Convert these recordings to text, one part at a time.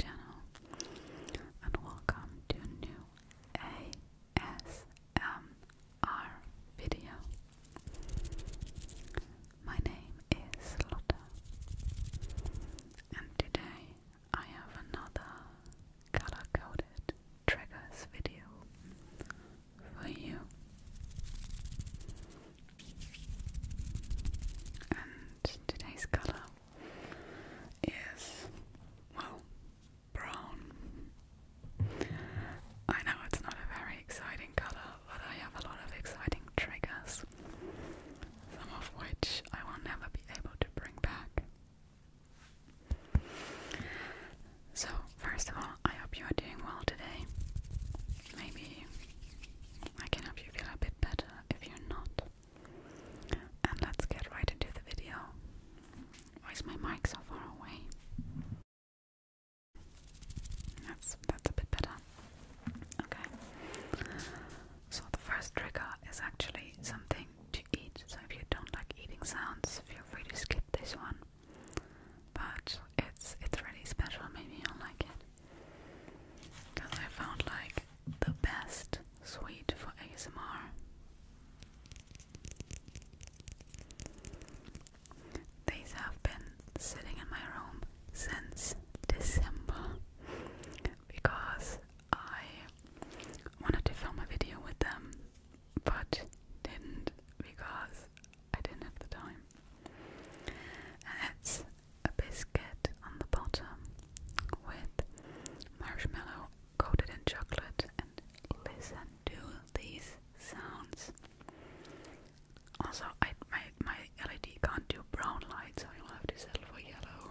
channel and welcome to new ASMR video. My name is Lotta and today I have another color-coded triggers video for you today's color is, well, brown. I know it's not a very exciting color, but I have a lot of exciting triggers, some of which I will never be able to bring back. So, first of all, I hope you are doing well today. Maybe I can help you feel a bit better if you're not. And let's get right into the video. Why is my mic so far away? That's that's a bit better. Okay. So the first trigger is actually something to eat. So if you don't like eating sounds, feel free to skip this one. But it's it's really special. Maybe you'll like it. Because I found like the best suite for ASMR. These have been sitting in my room since December because I wanted to film a video with them but didn't because I didn't have the time. It's a biscuit on the bottom with marshmallow coated in chocolate, and listen to these sounds. Also, I, my my LED can't do brown light, so I will have to settle for yellow.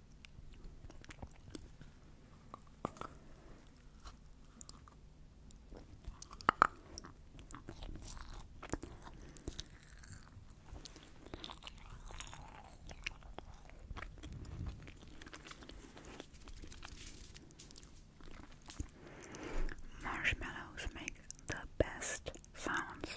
Marshmallows make the best sounds.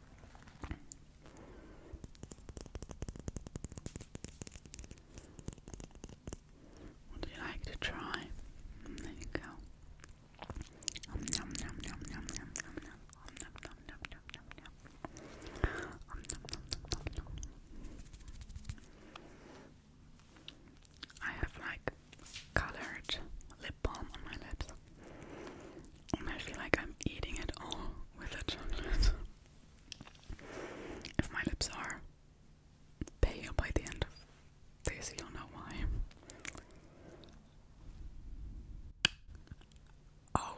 Would you like to try? There you go. I have like colored lip balm on my lips. I feel like I'm eating it all with the chocolate. If my lips are pale by the end of this, you'll know why. Oh.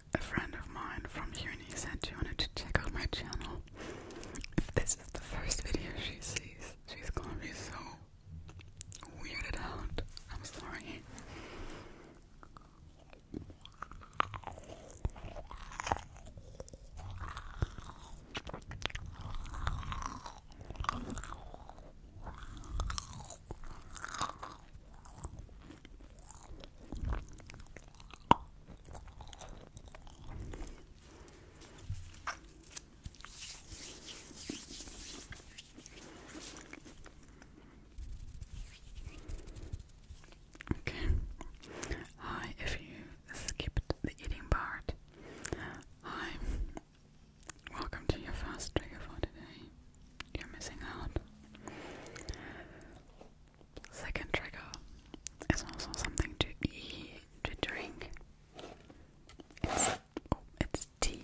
A friend of mine from uni said she wanted to check out my channel. If this is the first video she sees, she's gonna be so weirded out. I'm sorry. Okay. Hi, if you skipped the eating part. Hi. Welcome to your first trigger for today. You're missing out. Second trigger is also something to eat, to drink. It's, oh, it's tea.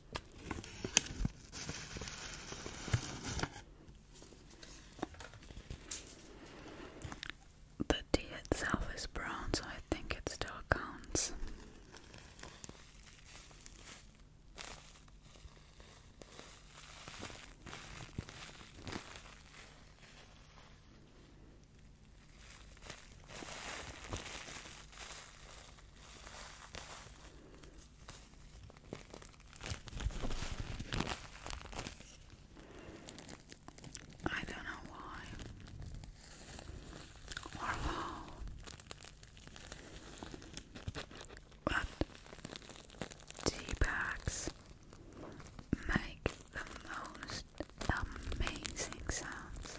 The tea itself is brown, so I think it still counts. I don't know why or how, but tea bags make the most amazing sounds.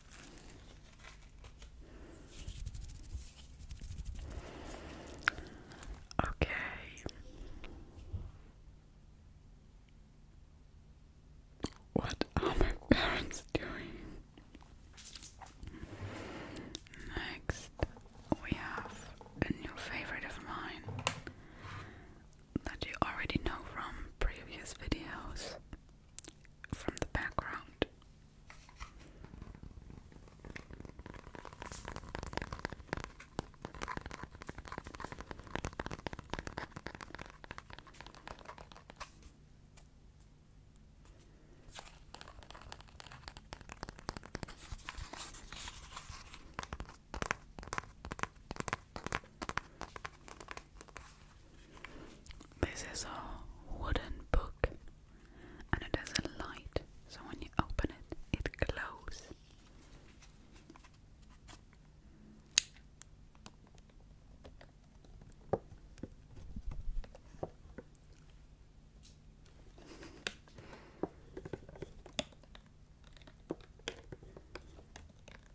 Okay. What are my parents doing? Next, we have a new favorite of mine that you already know from previous videos from the background. This is a wooden book and it has a light, so when you open it, it glows.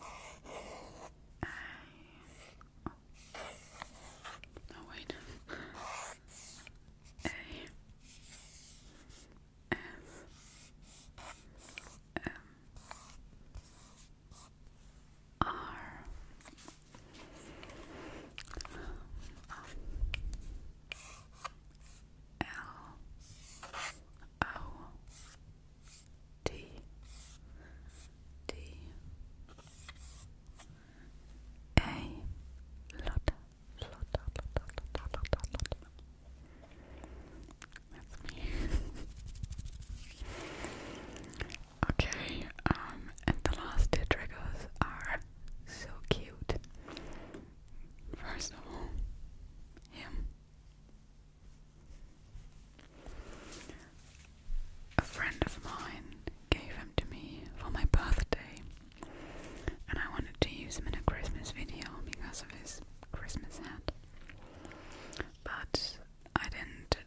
I... Oh. No, wait. A... F... M... R... L... O... T T A Lotta Lotta Lotta Lotta Lotta Lotta Okay, um and the last two triggers are so cute. First of all, him. A friend of mine gave him to me for my birthday, and I wanted to use him in a Christmas video because of his Christmas hat. But I didn't.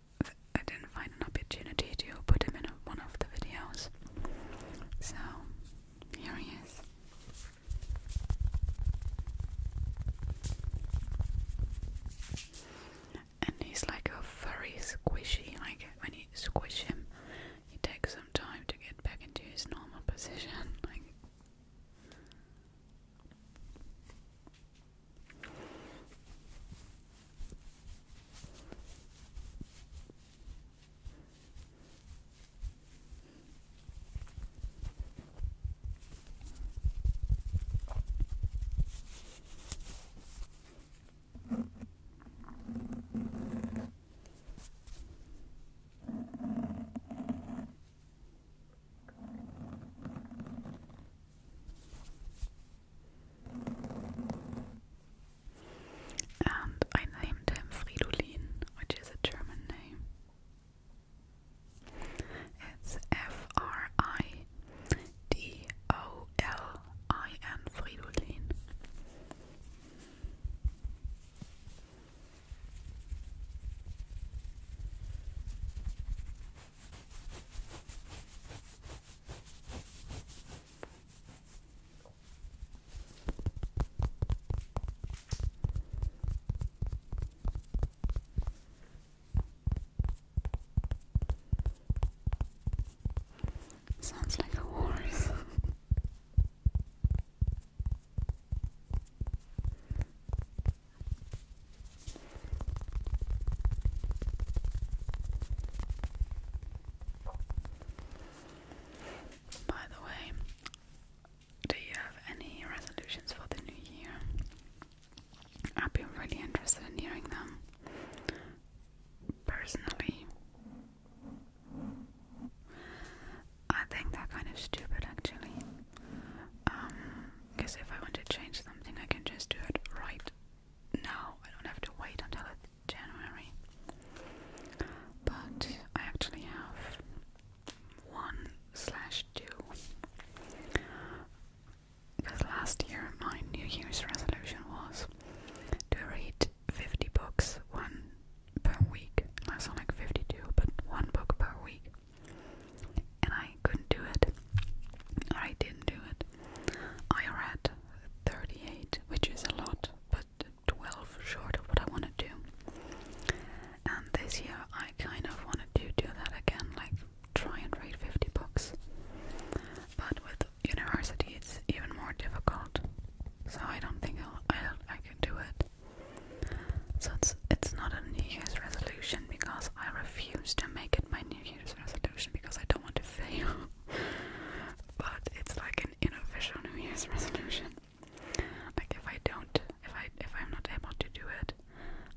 I didn't find an opportunity to put him in one of the videos, so here he is. And he's like a furry squishy, like when you squish him, he takes some time to get back into his normal position. Like and I named him Fridolin, which is a German name. It's F R I D O L I N fridolin Sounds like a horse. By the way, do you have any resolutions for the new year? I'd be really interested in hearing them. Personally, I think they're kind of stupid actually. Because um, if I want to change something, I can just do it right now. I don't have to wait until January. But I actually have 1 slash 2. Because last year my New Year's resolution was to read 50 books, one per week. I sound like 52, but one book per week. And I couldn't do it. I didn't do it. I read 38, which is a lot, but 12 short of what I want to do and this year I kind of wanted to do that again, like try and read 50 books. But with university, it's even more difficult, so I don't think I'll, I don't, I can do it. So it's it's not a New Year's resolution because I refuse to make it my New Year's resolution because I don't want to fail. but it's like an unofficial New Year's resolution. Like if I don't, if I if I'm not able to do it,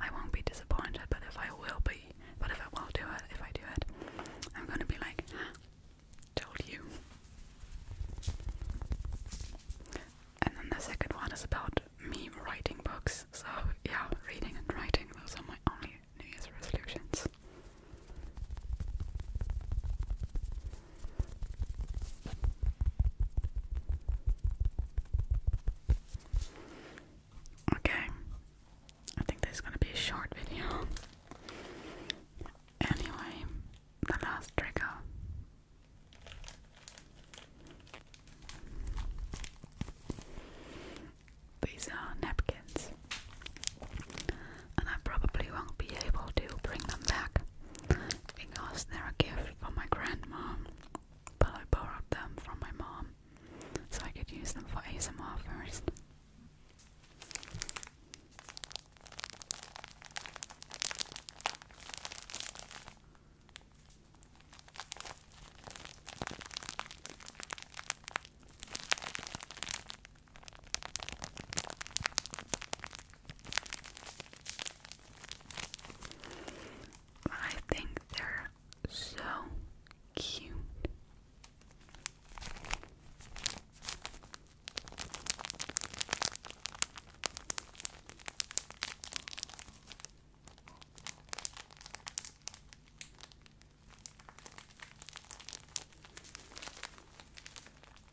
I won't be disappointed. But if I will be, but if I will do it, if I do it, I'm gonna be like, told you. And then the second one is about me writing books. So yeah, reading and writing. Those are my only New Year's resolutions. Okay, I think this is going to be a short video. Anyway, the last trigger. These are napkins, and I probably won't be able to bring them back because they're a gift from my grandma, but I borrowed them from my mom so I could use them for ASMR first. I think they're so cute.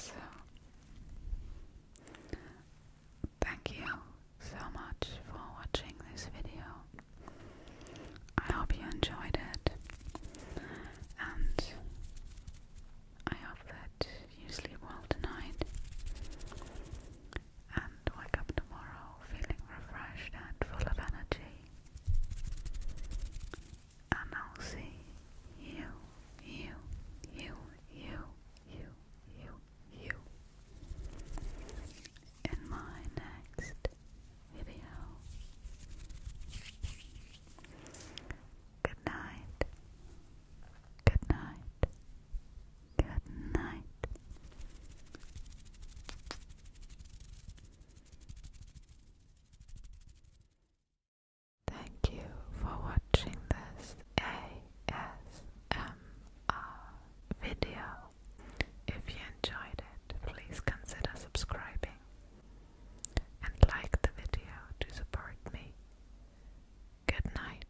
So, thank you so much for watching this video. I hope you enjoyed it, and I hope that you sleep well tonight and wake up tomorrow feeling refreshed and full of energy. And I'll see you, you, you, you, you, you, you in my next video. Good night. Good night. Good night. Thank you for watching this ASMR video. If you enjoyed it, please consider subscribing and like the video to support me. Good night.